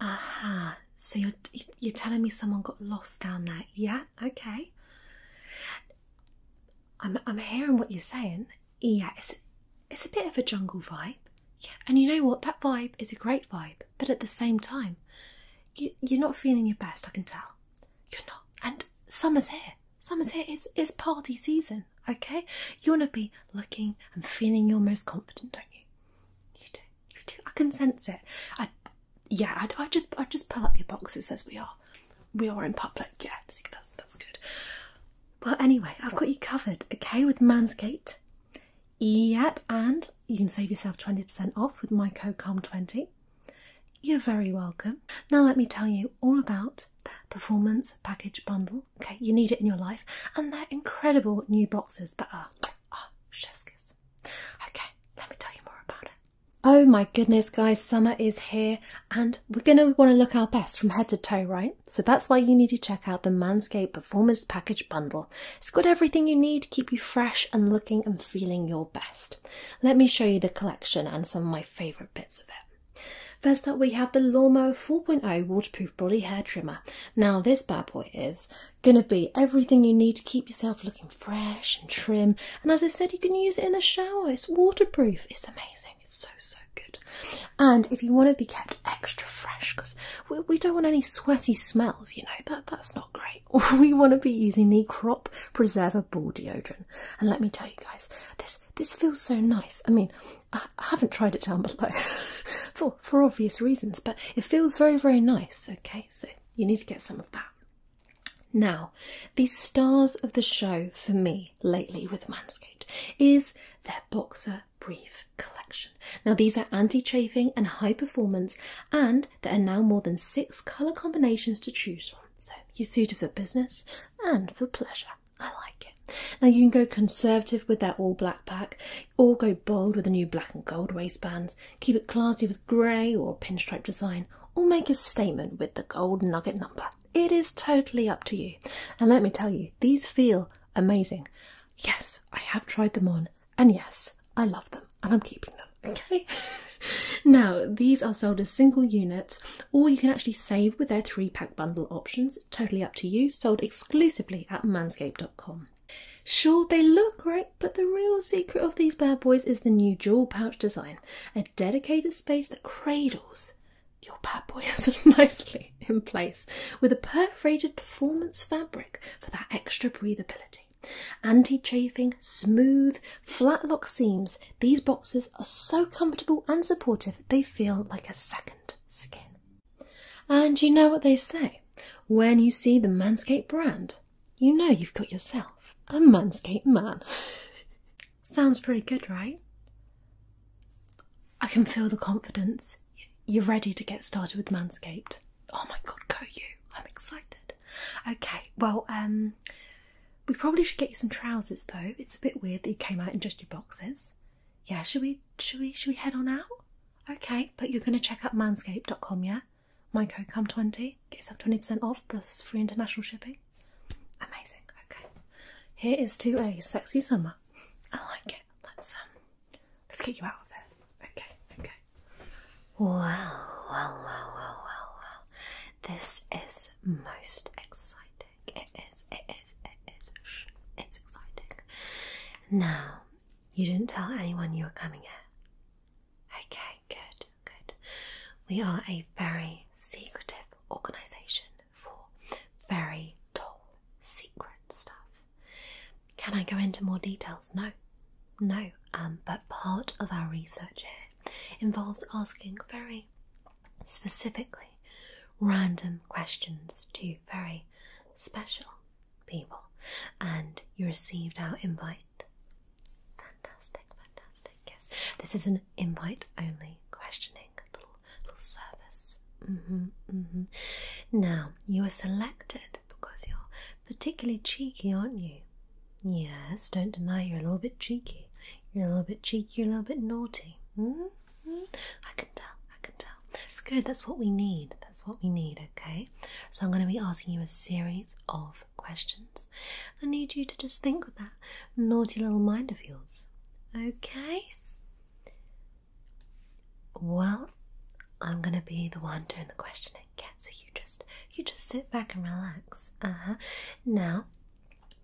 Aha, so you're, you're telling me someone got lost down there. Yeah, okay. I'm, I'm hearing what you're saying. Yeah, it's, it's a bit of a jungle vibe. Yeah, and you know what? That vibe is a great vibe, but at the same time, you, you're not feeling your best, I can tell. You're not. And summer's here. Summer's here. It's, it's party season, okay? You want to be looking and feeling your most confident, don't you? You do. I can sense it. I, yeah. I, just, I just pull up your box that says we are, we are in public. Yeah. that's that's good. Well, anyway, I've got you covered. Okay, with Mansgate, Yep, and you can save yourself twenty percent off with my code COM20. You're very welcome. Now let me tell you all about the performance package bundle. Okay, you need it in your life, and they're incredible new boxes that are uh, Oh, chef's Okay, let me tell you more about it. Oh my goodness, guys, summer is here and we're going to want to look our best from head to toe, right? So that's why you need to check out the Manscaped Performance Package Bundle. It's got everything you need to keep you fresh and looking and feeling your best. Let me show you the collection and some of my favourite bits of it. First up, we have the Lawnmower 4.0 Waterproof Body Hair Trimmer. Now, this bad boy is going to be everything you need to keep yourself looking fresh and trim. And as I said, you can use it in the shower, it's waterproof, it's amazing, it's so so good. And if you want to be kept extra fresh, because we, we don't want any sweaty smells, you know, that that's not great. we want to be using the Crop Preserver Ball Deodorant. And let me tell you guys, this this feels so nice. I mean, I, haven't tried it down below. for for obvious reasons, but it feels very very nice. Okay, so you need to get some of that. Now, the stars of the show for me lately with Manscaped is their boxer brief collection. Now, these are anti-chafing and high performance, and there are now more than six color combinations to choose from. So you're suited for business and for pleasure. I like it. Now you can go conservative with their all black pack. Or go bold with the new black and gold waistbands, keep it classy with grey or pinstripe design, or make a statement with the gold nugget number. It is totally up to you. And let me tell you, these feel amazing. Yes, I have tried them on, and yes, I love them, and I'm keeping them. Okay? now, these are sold as single units, or you can actually save with their three pack bundle options. Totally up to you, sold exclusively at manscaped.com. Sure, they look great, but the real secret of these bad boys is the new jewel pouch design a dedicated space that cradles your bad boys nicely in place with a perforated performance fabric for that extra breathability. Anti chafing, smooth, flat lock seams, these boxes are so comfortable and supportive they feel like a second skin. And you know what they say when you see the Manscaped brand, you know you've got yourself a Manscaped man. Sounds pretty good, right? I can feel the confidence. You're ready to get started with Manscaped. Oh my god, go you! I'm excited. Okay, well, um, we probably should get you some trousers though. It's a bit weird that you came out in just your boxes. Yeah, should we? Should we? Should we head on out? Okay, but you're going to check out manscaped.com, yeah? My code COME20, get yourself 20% off plus free international shipping. Amazing, okay. Here is to a sexy summer. I like it. Let's um let's get you out of there. Okay, okay. Well, well, well, well, well, well. This is most exciting. It is, it is, it is. Shh, it's exciting. Now, you didn't tell anyone you were coming here. Okay, good, good. We are a very secretive organisation for very top secret stuff. Can I go into more details? No, no. Um, but part of our research here involves asking very specifically random questions to very special people and you received our invite. Fantastic, fantastic. Yes, this is an invite only questioning little, little service. Mm-hmm, mm-hmm. Now, you were selected because you're particularly cheeky, aren't you? Yes, don't deny you're a little bit cheeky. You're a little bit cheeky, you're a little bit naughty. Mm-hmm. I can tell, I can tell. That's good, that's what we need. That's what we need, okay? So, I'm going to be asking you a series of questions. I need you to just think with that naughty little mind of yours, okay? Well, I'm going to be the one doing the questioning. Yeah, so you just you just sit back and relax. Uh-huh. Now,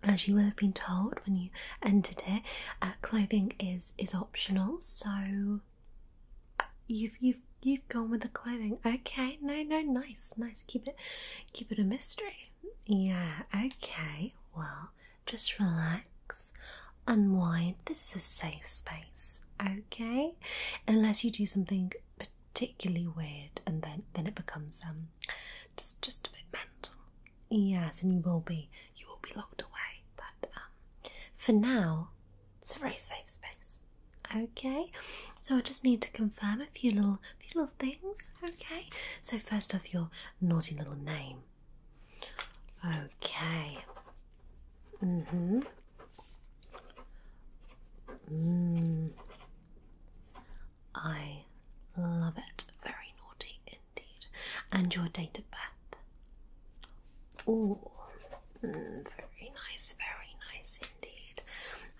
as you will have been told when you entered here, uh, clothing is is optional. So You've you've you've gone with the clothing. Okay, no, no, nice, nice. Keep it keep it a mystery. Yeah, okay. Well, just relax, unwind. This is a safe space, okay? Unless you do something particularly weird and then then it becomes um just just a bit mental. Yes, and you will be you will be locked away. But um for now it's a very safe space. Okay, so I just need to confirm a few little, few little things. Okay, so first off, your naughty little name. Okay. Mm-hmm. Mm. I love it. Very naughty indeed. And your date of birth. Oh, very nice, very nice indeed.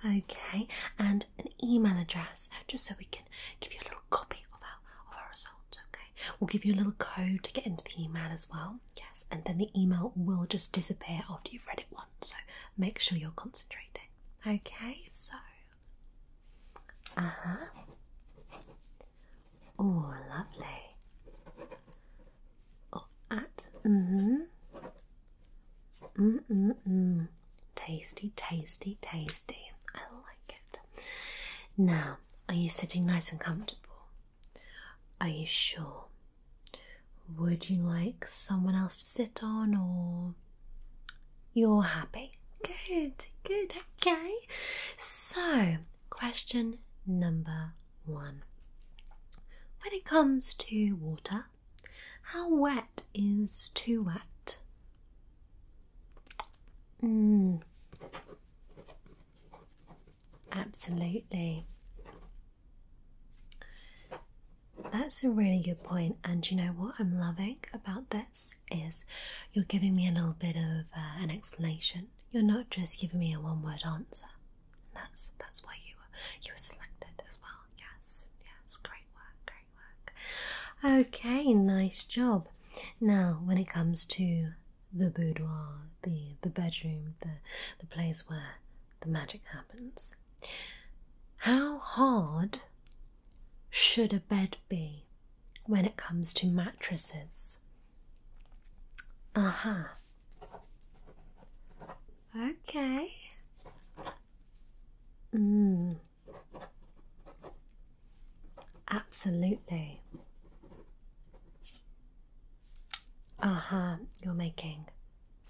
Okay, and an email address just so we can give you a little copy of our, of our results. Okay, we'll give you a little code to get into the email as well. Yes, and then the email will just disappear after you've read it once. So make sure you're concentrating. Okay, so. Uh huh. Oh, lovely. Oh, at. Mm-hmm. Mm-mm-mm. Tasty, tasty, tasty. I like it. Now, are you sitting nice and comfortable? Are you sure? Would you like someone else to sit on or you're happy? Good, good, okay. So question number one. When it comes to water, how wet is too wet? Mm. Absolutely. That's a really good point, and you know what I'm loving about this is you're giving me a little bit of uh, an explanation you're not just giving me a one-word answer. And that's that's why you were you were selected as well. Yes, yes, great work, great work. Okay, nice job. Now, when it comes to the boudoir, the the bedroom, the the place where the magic happens, how hard should a bed be when it comes to mattresses? Uh huh. Okay. Mm. Absolutely. Uh huh. You're making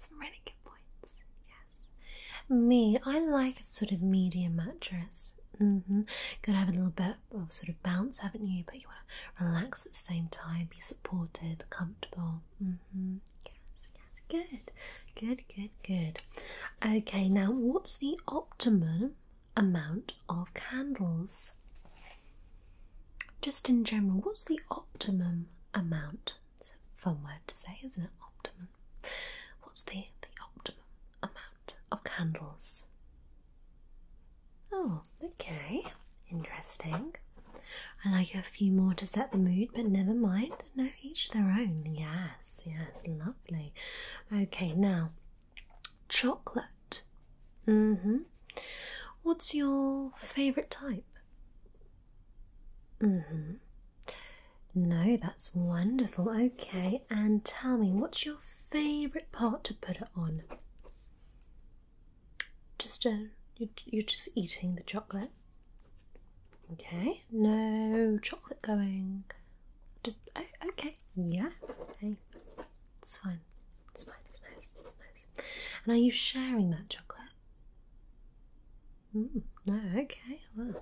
some really good points. Yes. Me, I like a sort of medium mattress. Mm hmm. Gotta have a little bit of sort of bounce, haven't you? But you want to relax at the same time, be supported, comfortable. Mm-hmm. Yes, yes, good, good, good, good. Okay, now what's the optimum amount of candles? Just in general, what's the optimum amount? fun word to say, isn't it? Optimum. What's the the optimum amount of candles? Oh, okay. Interesting. I like a few more to set the mood, but never mind. No, each their own. Yes, yes, lovely. Okay, now chocolate. Mm-hmm. What's your favourite type? Mm-hmm. No, that's wonderful. Okay, and tell me, what's your favourite part to put it on? Just uh, you're, just eating the chocolate. Okay, no chocolate going. Just okay, yeah. Hey, it's fine. It's fine. It's nice. It's nice. And are you sharing that chocolate? Mm, no. Okay. Well.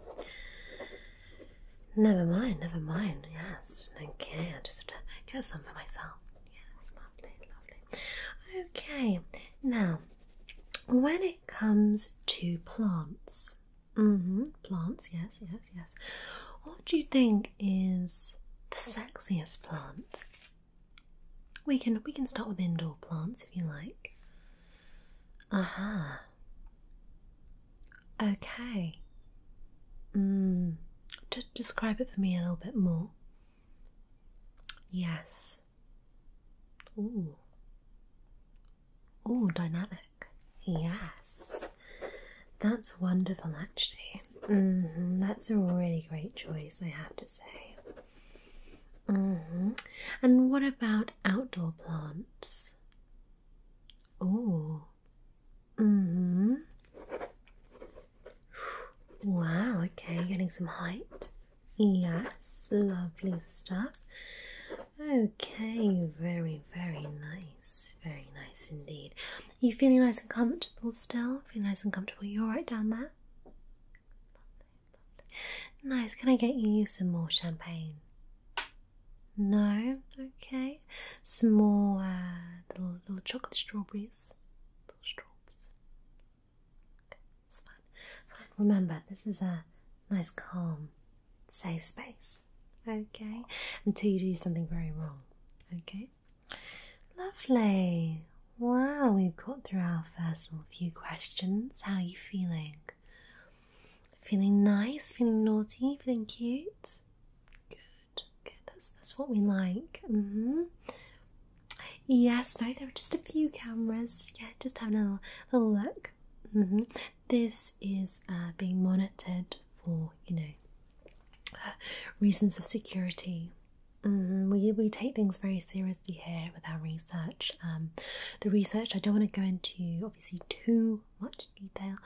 Never mind, never mind. Yes. Okay, I just have to get some for myself. Yes, lovely, lovely. Okay, now when it comes to plants, mm-hmm, plants, yes, yes, yes. What do you think is the sexiest plant? We can we can start with indoor plants if you like. Uh huh. Okay. Mm. describe it for me a little bit more. Yes. Ooh. Oh, dynamic. Yes. That's wonderful, actually. Mm-hmm. That's a really great choice, I have to say. Mm-hmm. And what about outdoor plants? Oh. Wow, okay, getting some height. Yes, lovely stuff. Okay, very, very nice. Very nice indeed. Are you feeling nice and comfortable still? Feel nice and comfortable. You are right down there? Lovely, lovely. Nice. Can I get you some more champagne? No? Okay. Some more uh, little chocolate strawberries those little Okay, that's fine. Remember, this is a nice, calm, safe space. Okay, until you do something very wrong. Okay, lovely. Wow, we've got through our first few questions. How are you feeling? Feeling nice? Feeling naughty? Feeling cute? Good. That's that's what we like. Mm-hmm. Yes. No, there are just a few cameras. Yeah, just having a little, look. Mm-hmm. This is uh, being monitored for you know uh, reasons of security. Mm-hmm. we we take things very seriously here with our research. Um, the research I don't want to go into obviously too much detail,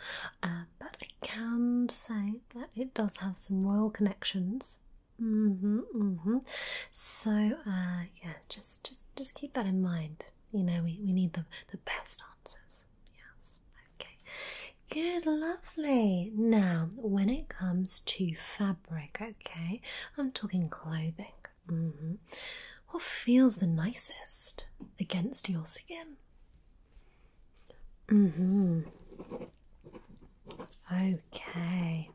uh, but I can say that it does have some royal connections. Mm-hmm, mm-hmm. So uh, yeah, just just just keep that in mind. You know, we, we need the the best answers. Yes. Okay. Good, lovely. Now, when it comes to fabric, okay, I'm talking clothing. Mm-hmm. What feels the nicest against your skin? Mm hmm. Okay.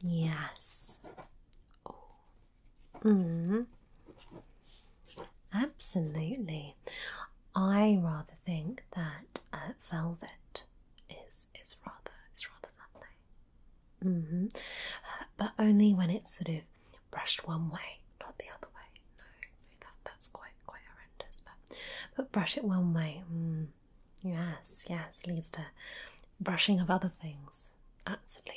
Yes. Mm hmm. Absolutely. I rather think that uh, velvet is is rather is rather lovely. hmm. but only when it's sort of brushed one way not the other way. No, that that's quite quite horrendous. But but brush it one way. Mm. yes, yes, leads to brushing of other things. Absolutely.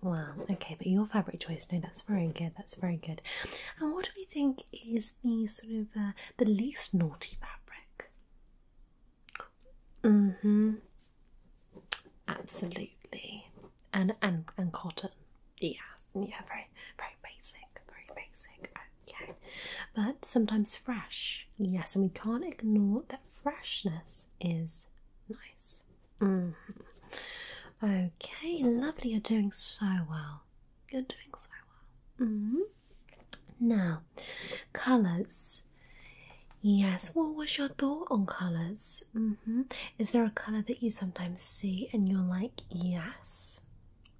Well, Okay, but your fabric choice. No, that's very good. That's very good. And what do we think is the sort of uh, the least naughty fabric? Mm hmm. Absolutely. And and and cotton. Yeah, yeah, very, very basic, very basic. Okay, but sometimes fresh, yes, and we can't ignore that freshness is nice. Mm-hmm. Okay, lovely. You're doing so well. You're doing so well. Mm-hmm. Now, colors. Yes, what was your thought on colors? Mm-hmm. Is there a color that you sometimes see and you're like, yes,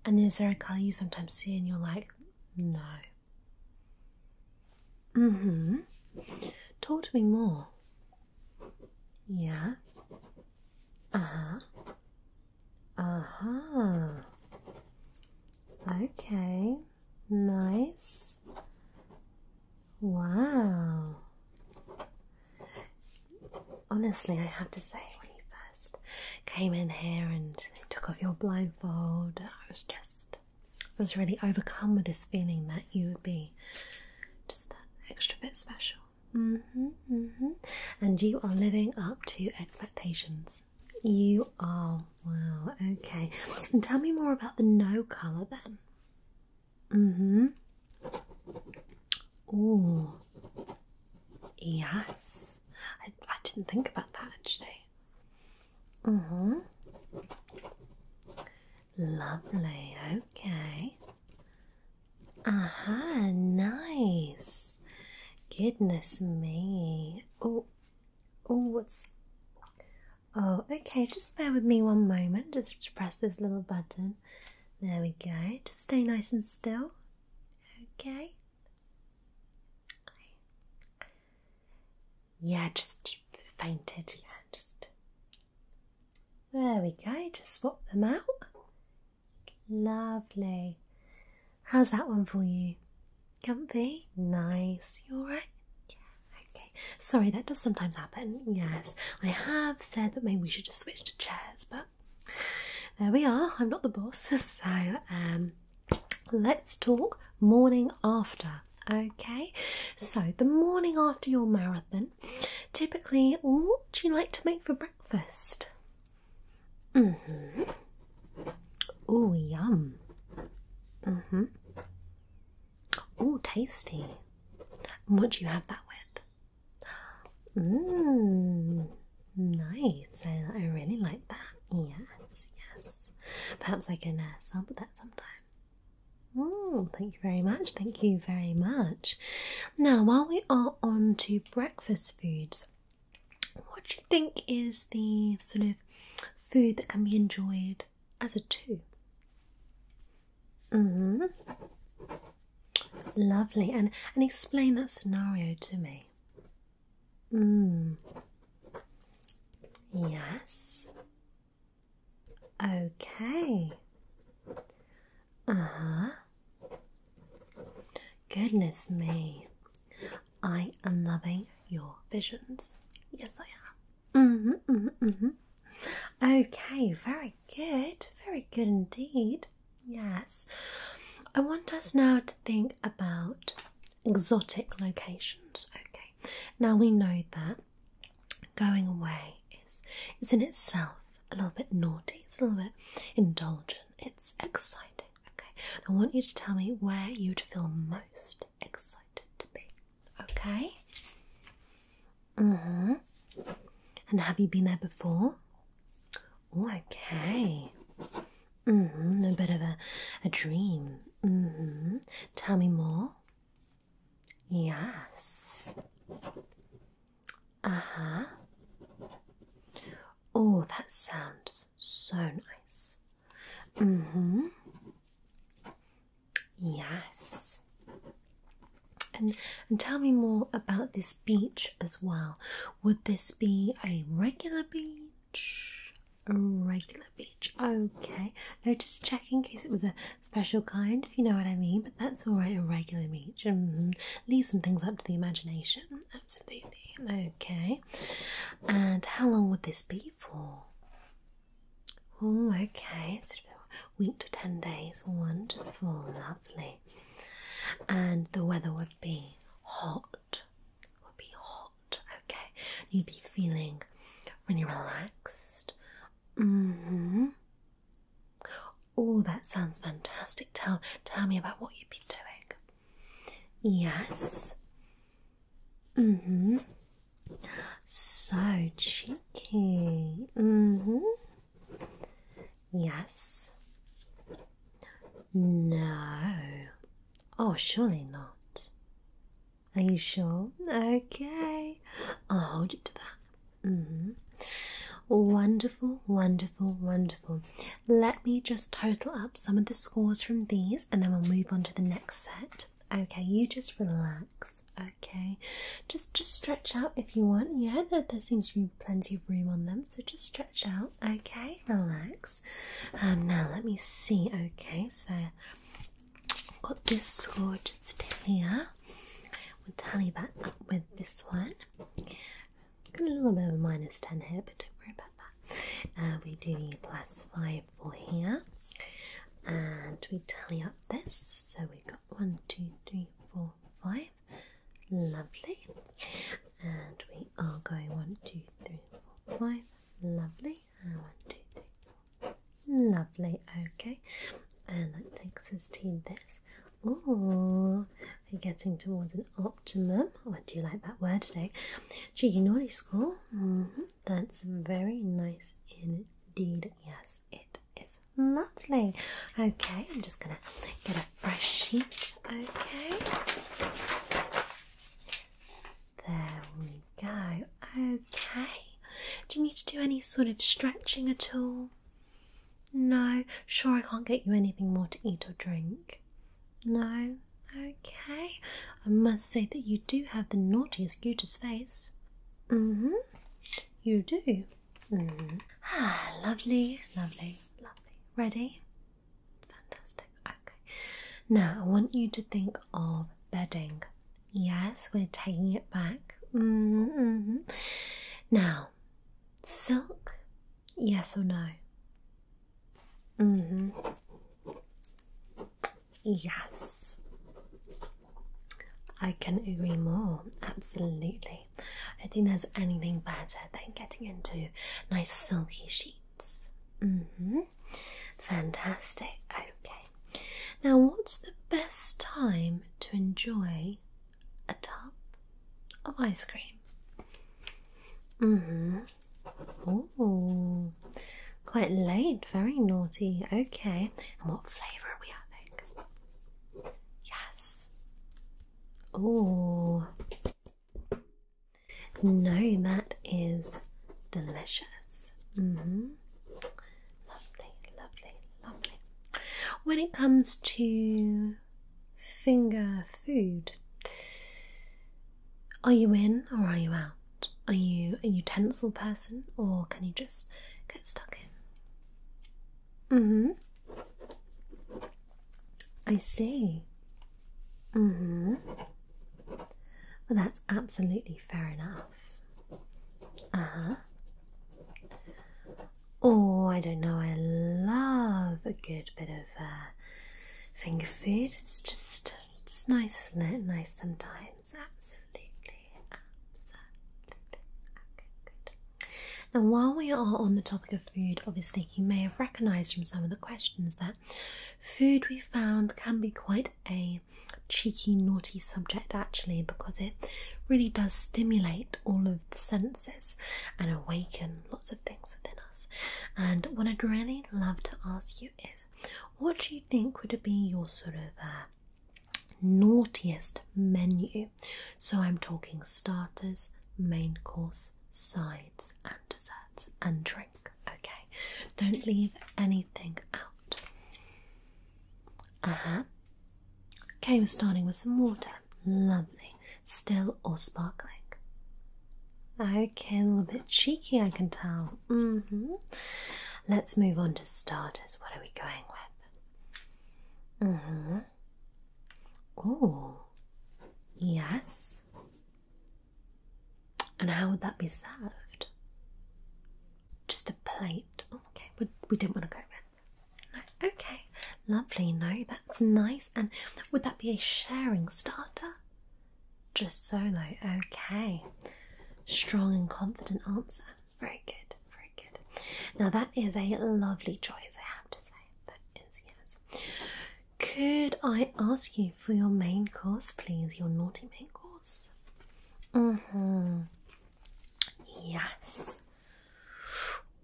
and is there a colour you sometimes see and you're like, no? Mm hmm. Talk to me more. Yeah. Uh huh. Uh huh. Okay. Nice. Wow. Honestly, I have to say, when you first came in here and took off your blindfold, I was just, I was really overcome with this feeling that you would be just that extra bit special. hmm hmm And you are living up to expectations. You are. Wow, okay. And tell me more about the no colour then. Mm-hmm. Ooh. Yes. I, I didn't think about that actually. Mm-hmm. Lovely, okay. Aha, nice. Goodness me. Oh, oh, what's. Oh, okay, just bear with me one moment. Just to press this little button. There we go. Just stay nice and still. Okay. Yeah, just fainted. Yeah, just. There we go. Just swap them out. Lovely. How's that one for you? Comfy? Nice. You alright? Yeah, okay. Sorry, that does sometimes happen. Yes, I have said that maybe we should just switch to chairs, but there we are. I'm not the boss, so um, let's talk morning after. Okay, so the morning after your marathon, typically, what do you like to make for breakfast? hmm. Oh, yum. Mm hmm. Oh, tasty. what do you have that with? Mmm, nice. I, really like that. Yes, yes. Perhaps I can uh, sample that sometime. Mm, thank you very much. Thank you very much. Now, while we are on to breakfast foods, what do you think is the sort of food that can be enjoyed as a two? hmm. Lovely, and and explain that scenario to me. Mm. Yes. Okay. Uh huh. Goodness me. I am loving your visions. Yes, I am. Mm hmm, hmm, hmm. Okay, very good. Very good indeed. Yes. I want us now to think about exotic locations. Okay. Now we know that going away is is in itself a little bit naughty, it's a little bit indulgent, it's exciting. Okay. I want you to tell me where you'd feel most excited to be. Okay? Mm-hmm. And have you been there before? okay. hmm A bit of a, a dream. hmm Tell me more. Yes. Uh-huh. Oh, that sounds so nice. hmm Yes. And and tell me more about this beach as well. Would this be a regular beach? A regular beach. Okay. No, just checking in case it was a special kind, if you know what I mean, but that's alright, a regular beach. Mm-hmm. Leave some things up to the imagination. Absolutely. Okay. And how long would this be for? Oh, okay. week to ten days. Wonderful, lovely and the weather would be hot. Would be hot, okay. You'd be feeling really relaxed. hmm Oh, that sounds fantastic. Tell tell me about what you've been doing. Yes. hmm So cheeky. hmm Yes. No. Oh, surely not. Are you sure? Okay. I'll hold you to that. -hmm. Wonderful, wonderful, wonderful. Let me just total up some of the scores from these and then we'll move on to the next set. Okay, you just relax. Okay, just just stretch out if you want. Yeah, That there seems to be plenty of room on them. So just stretch out, okay? Relax. Um, now let me see. Okay, so i got this score just here. we tally that up with this one. Got a little bit of a minus 10 here, but don't worry about that. Uh, we do the plus 5 for here. And we tally up this. So we've got one, two, three, four, five. Lovely. And we are going one, two, three, four, five. Lovely. And one, two, three, four. Lovely. Okay. And that takes us to this. Oh, we're getting towards an optimum. What oh, do you like that word today? Gignoli score. Mm mm-hmm. That's very nice indeed. Yes, it is lovely. Okay, I'm just gonna get a fresh sheet Okay. There we go. Okay. Do you need to do any sort of stretching at all? No. Sure, I can't get you anything more to eat or drink. No. Okay. I must say that you do have the naughtiest, cutest face. Mm hmm. You do. Ah, lovely, lovely, lovely. Ready? Fantastic. Okay. Now I want you to think of bedding. Yes, we're taking it back. Mm-hmm. Now, silk, yes or no? Mm-hmm. Yes. I can agree more. Absolutely. I don't think there's anything better than getting into nice silky sheets. Mm hmm. Fantastic. Okay. Now, what's the best time to enjoy a tub of ice cream? Mm hmm. Oh, quite late. Very naughty. Okay. And what flavour are we having? Yes. Oh, no, that is delicious. -hmm. Lovely, lovely, lovely. When it comes to finger food, are you in or are you out? Are you a utensil person or can you just get stuck in? Mm-hmm. I see. Mm-hmm. Well, that's absolutely fair enough. Uh-huh. Oh, I don't know. I love a good bit of uh, finger food. It's just, just nice, isn't it? Nice sometimes. Absolutely, absolutely. Okay, good. Now, while we are on the topic of food, obviously you may have recognised from some of the questions that food we found can be quite a cheeky, naughty subject actually, because it really does stimulate all of the senses and awaken lots of things within us. And what I'd really love to ask you is what do you think would be your sort of uh, naughtiest menu? So, I'm talking starters, main course, sides, and desserts and drink. Okay, don't leave anything out. Uh huh. Okay, we're starting with some water. Lovely. Still or sparkling? Okay, a little bit cheeky, I can tell. Mm-hmm. Let's move on to starters. What are we going with? Mm-hmm. Oh, yes. And how would that be served? Just a plate. Oh, okay, we, we didn't want to go with. okay, lovely. No, that's nice. And would that be a sharing starter? Just solo. Okay, strong and confident answer. Very good, very good. Now that is a lovely choice, I have to say. That is yes, could I ask you for your main course, please? Your naughty main course? Mm hmm. Yes.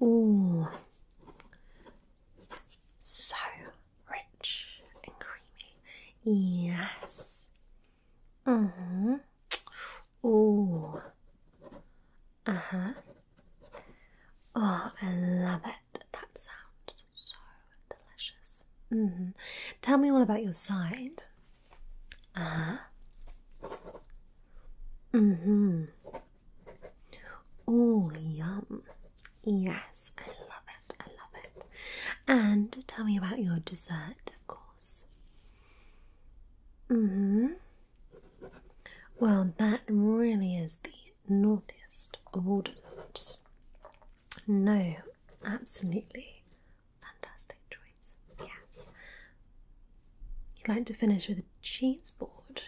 Oh, So rich and creamy. Yes. Mm hmm. Oh. Uh huh. Oh, I love it. That sounds so delicious. Mm -hmm. Tell me all about your side. Ah. Mm hmm. Oh, yum. Yes, I love it. I love it. And tell me about your dessert, of course. Mm hmm. Well, that really is the naughtiest of all developed. No, absolutely fantastic choice. Yes. You'd like to finish with a cheese board?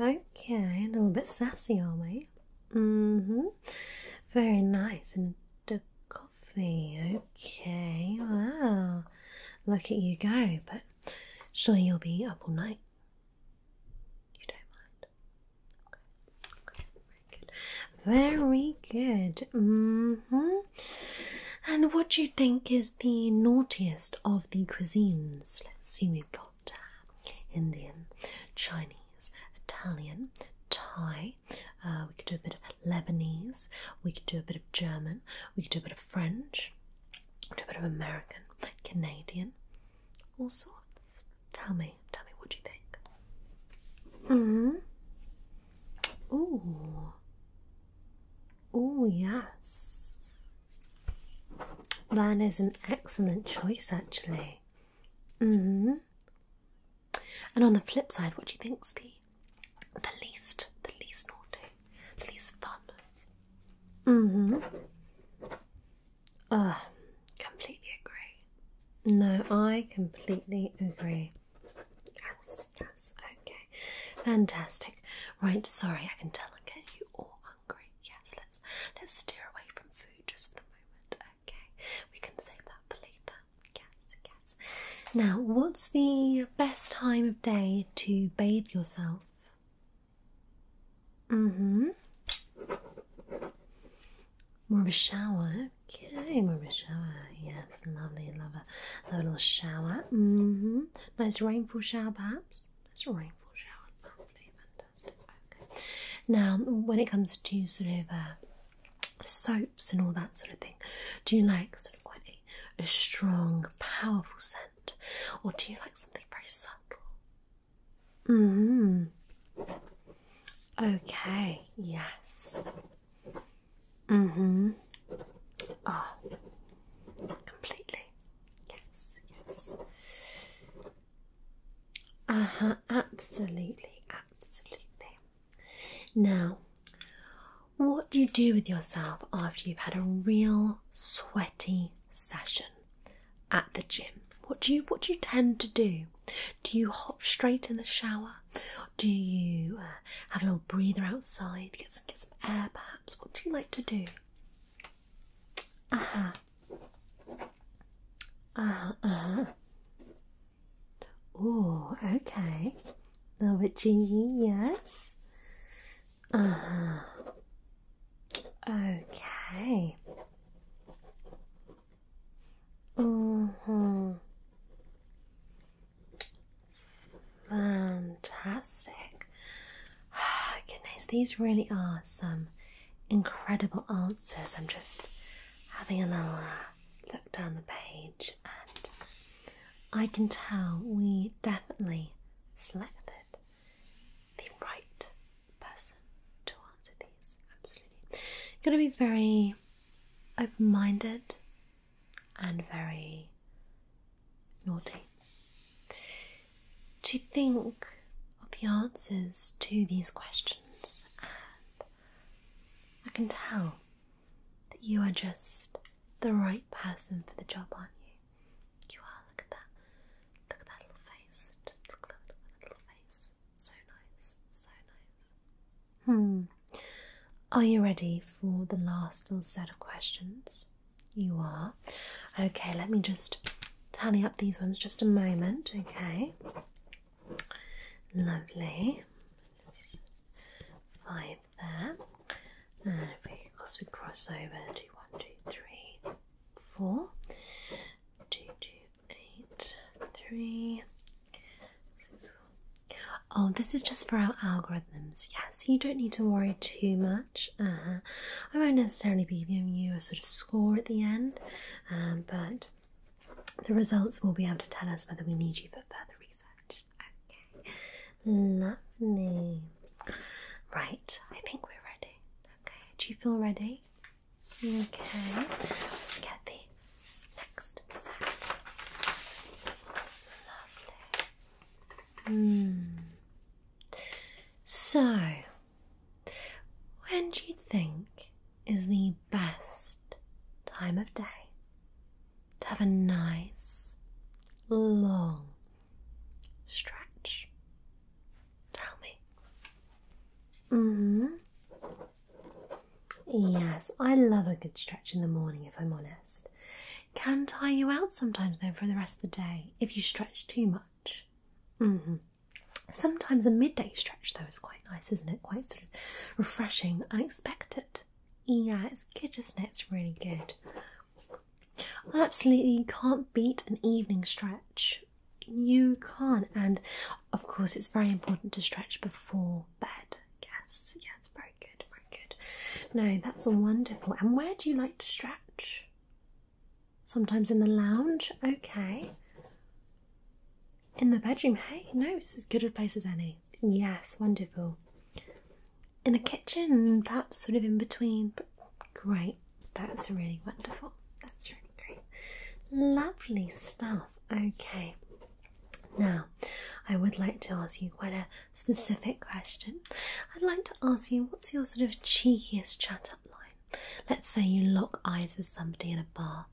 Okay, a little bit sassy, are we? Mm-hmm. Very nice. And the coffee. Okay, wow. Look at you go, but sure you'll be up all night. You Okay. Very good. Very good. hmm And what do you think is the naughtiest of the cuisines? Let's see, we've got Indian, Chinese, Italian, Thai. Uh, we could do a bit of Lebanese. We could do a bit of German. We could do a bit of French, a bit of American, Canadian, all sorts. Tell me, tell me, what you think? Mm hmm. Ooh. Oh, yes. That is an excellent choice, actually. Mm hmm. And on the flip side, what do you think's the the least, the least naughty, the least fun? Mm-hmm. Uh, completely agree. No, I completely agree. Yes, yes, okay. Fantastic. Right, sorry, I can tell I get you all hungry. Yes, let's let's steer away from food just for the moment. Okay. We can save that for later. Yes, yes. Now, what's the best time of day to bathe yourself? Mm-hmm. More of a shower. Okay, more of a shower. Yes, lovely, love a, love a little shower. Mm-hmm. Nice rainfall shower, perhaps. Nice rainfall shower. Lovely, fantastic. Okay. Now, when it comes to sort of uh, soaps and all that sort of thing, do you like sort of quite a strong, powerful scent? or do you like something very subtle? Mm hmm. Okay. Yes. Mm hmm. Oh, completely. Yes. Yes. Uh huh. Absolutely. Absolutely. Now, what do you do with yourself after you've had a real sweat? session at the gym, what do you what do you tend to do? Do you hop straight in the shower? Do you uh, have a little breather outside, get some, get some air perhaps? What do you like to do? Uh-huh. Uh-huh. uh Oh, okay. A little bit cheeky, yes. Uh-huh. Okay. Mm-hmm. Fantastic. goodness, these really are some incredible answers. I'm just having a little look down the page, and I can tell we definitely selected the right person to answer these. Absolutely. You've to be very open minded and very naughty to think of the answers to these questions, and I can tell that you are just the right person for the job, aren't you? You are. Look at that. Look at that little face. Just look at that little face. So nice. So nice. Hmm. Are you ready for the last little set of questions? You are. Okay, let me just tally up these ones just a moment. Okay. Lovely. Five there. And if we, of course, we cross over, do one, two, three, four, two, two, eight, three, six, four. Oh, this is just for our algorithms. Yes, you don't need to worry too much. Uh-huh. I won't necessarily be giving you a sort of score at the end, um, but the results will be able to tell us whether we need you for further research. Okay. Lovely. Right, I think we're ready. Okay, do you feel ready? Okay, let's get the next set. Lovely. Mm. So, when do you think is the best time of day to have a nice long Stretch. Tell me. hmm. Yes, I love a good stretch in the morning if I'm honest. Can tire you out sometimes though for the rest of the day if you stretch too much. hmm. Sometimes a midday stretch though is quite nice, isn't it? Quite sort of refreshing, unexpected. Yeah, it's good, isn't it? It's really good. Absolutely, you can't beat an evening stretch. You can't, and of course, it's very important to stretch before bed. Yes, yeah, it's very good, very good. No, that's wonderful. And where do you like to stretch? Sometimes in the lounge, okay. In the bedroom, hey, no, it's as good a place as any. Yes, wonderful in a kitchen, perhaps sort of in between. great, that's really wonderful. That's really great. Lovely stuff. Okay, now I would like to ask you quite a specific question. I'd like to ask you what's your sort of cheekiest chat up line? Let's say you lock eyes with somebody in a bar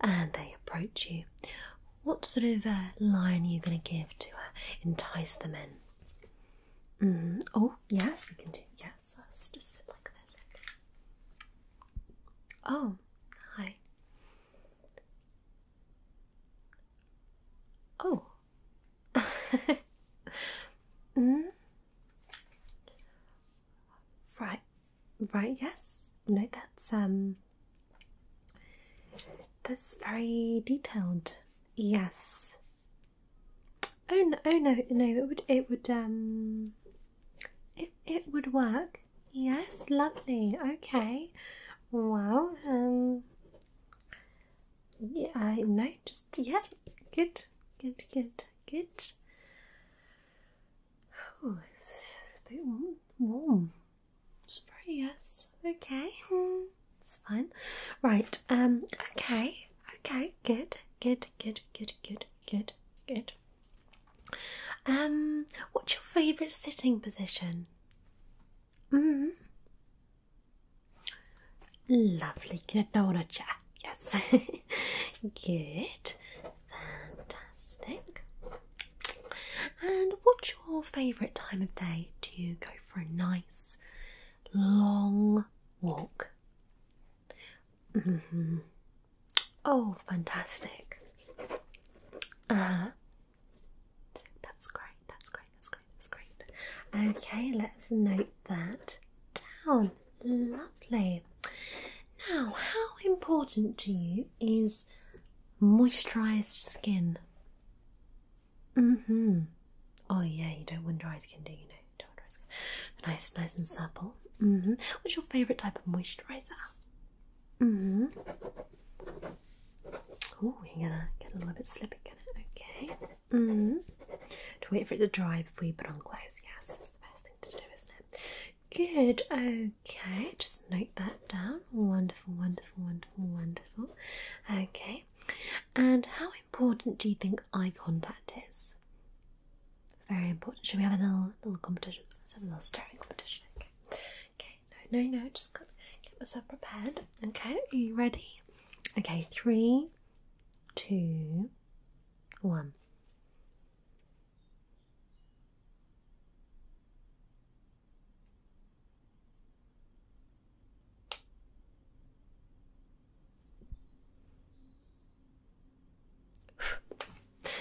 and they approach you. What sort of uh, line are you going to give to uh, entice them in? Mm-hmm. Oh, yes, we can do. Yes, just sit like this. Oh, hi. Oh. mm. Right, right. Yes. No, that's um. That's very detailed. Yes. Oh, oh no! no! it would. It would. Um. It it would work. Yes, lovely. Okay. Wow. Um. Yeah. I know. Just yeah. Good. Good. Good. Good. it's a bit warm. It's very yes. Okay. Hmm. It's fine. Right. Um. Okay. Okay. Good. Good. Good. Good. Good. Good. Good. Um. What's your favourite sitting position? Mm. Lovely. Gnadona chair. Yes. good. Fantastic. And what's your favourite time of day? to go for a nice long walk. Mm-hmm. Oh, fantastic. Uh That's great, that's great, that's great, that's great. Okay, let's note that down. Lovely. Now, how important to you is moisturized skin? hmm Oh yeah, you don't want dry skin, do you? No, don't want dry skin. Nice, nice and supple. Mm-hmm. What's your favourite type of moisturiser? Mm-hmm. Oh, we are gonna get a little bit slippy, gonna. Okay. Mm-hmm. To wait for it to dry before you put on clothes. Yes, it's the best thing to do, isn't it? Good. Okay, just note that down. Wonderful, wonderful, wonderful, wonderful. Okay, and how important do you think eye contact is? Very important. Should we have a little little competition? Let's have a little staring competition. Okay. Okay. No, no, no. Just got, get myself prepared. Okay. Are you ready? Okay. Three, two, one.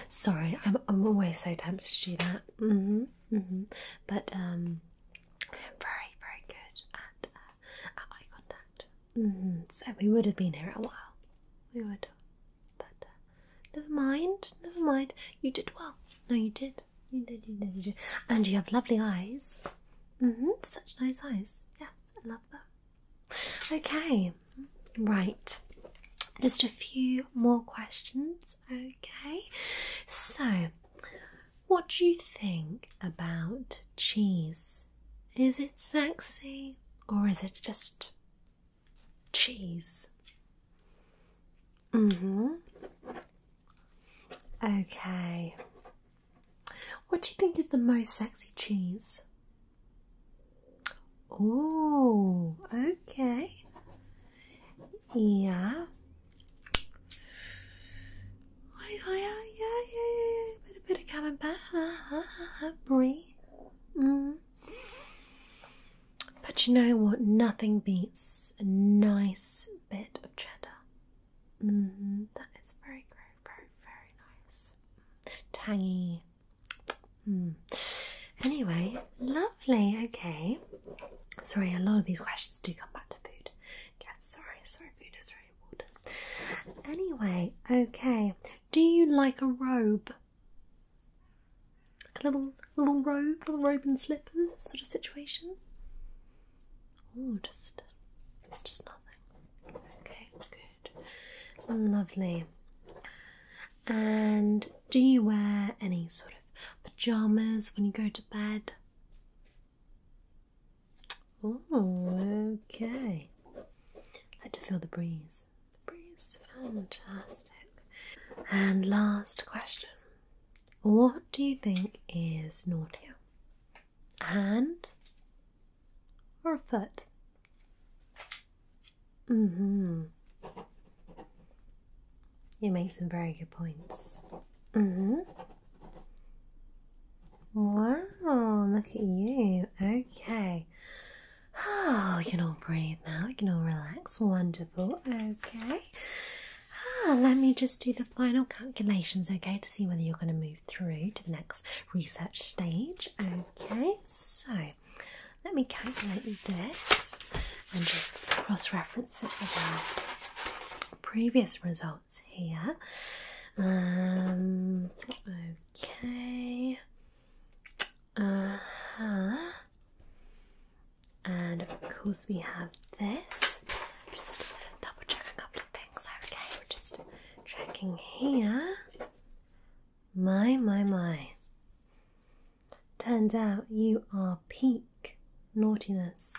Sorry, I'm, I'm always so tempted to do that. Mm-hmm, mm-hmm. But um, very, very good at, uh, eye contact. Mm-hmm. So we would have been here a while. We would, but uh, never mind, never mind. You did well. No, you did. You did, you did, you did. And you have lovely eyes. Mm hmm. Such nice eyes. Yes, I love them. Okay, right. Just a few more questions. Okay. So, what do you think about cheese? Is it sexy or is it just cheese? Mm hmm. Okay. What do you think is the most sexy cheese? Oh, okay. Yeah. Hi, hi, yeah, yeah, yeah, yeah. Bit, bit of camembert, brie. Mm. But you know what? Nothing beats a nice bit of cheddar. Mm-hmm. That is very, very, very, very nice. Tangy. Hmm. Anyway, lovely. Okay. Sorry, a lot of these questions do come back to food. Yes, sorry, sorry, food is really important. Anyway, okay. Do you like a robe? a little, little robe, little robe and slippers sort of situation? Oh, just just nothing. Okay, good, lovely. And do you wear any sort of pajamas when you go to bed? Oh, okay. I like to feel the breeze. The breeze, fantastic. And last question: What do you think is naughtier, hand or foot? hmm You make some very good points. Mm-hmm. Wow, look at you. Okay. Oh, you can all breathe now. You can all relax. Wonderful. Okay. Ah, let me just do the final calculations, okay, to see whether you're going to move through to the next research stage. Okay, so let me calculate this and just cross reference it with our previous results here. Um, okay, uh-huh. And of course, we have this. Just double check a couple of things. Okay, we're just checking here. My, my, my. Turns out you are peak naughtiness.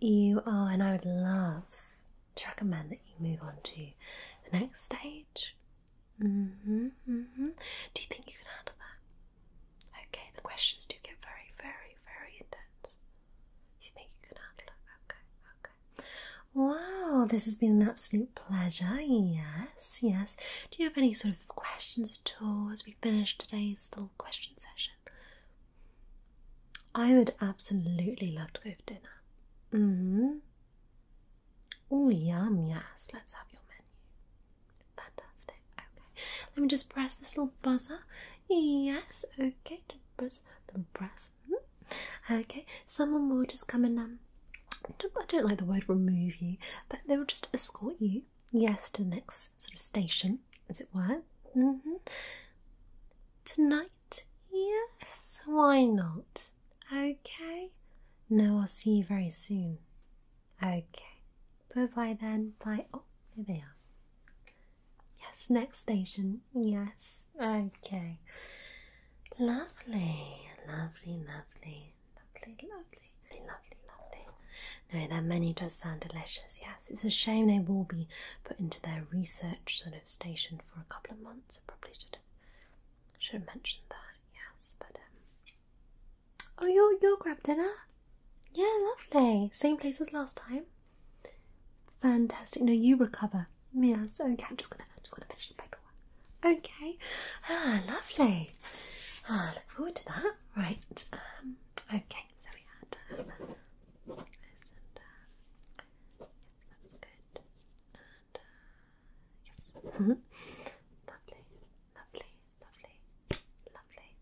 You are, and I would love to recommend that you move on to the next stage. Mm-hmm, mm-hmm. Do you think you can handle that? Okay, the questions do get very, very, very, intense. You think you can handle it? Okay, okay. Wow, this has been an absolute pleasure. Yes, yes. Do you have any sort of questions at all as we finish today's little question session? I would absolutely love to go for dinner. hmm. Oh, yum, yes. Let's have your menu. Fantastic. Okay. Let me just press this little buzzer. Yes, okay. Just press press, hmm? Okay, someone will just come and um, I don't like the word remove you, but they will just escort you, yes, to the next sort of station, as it were. Mm-hmm. Tonight, yes, why not? Okay, no, I'll see you very soon. Okay, bye bye then. Bye. Oh, there they are. Yes, next station. Yes. Okay. Lovely, lovely, lovely, lovely, lovely, lovely, lovely. No, their menu does sound delicious. Yes, it's a shame they will be put into their research sort of station for a couple of months. I probably should have mentioned that. Yes, but um, Oh, you'll you'll grab dinner. Yeah, lovely. Same place as last time. Fantastic. No, you recover. Yes. Okay. I'm just gonna, I'm just gonna finish the paperwork. Okay. Ah, lovely. Ah, I look forward to that. Right. Um. Okay. So we had um, this and uh, uh, yes. Mm-hmm. Lovely. Lovely. Lovely. Lovely.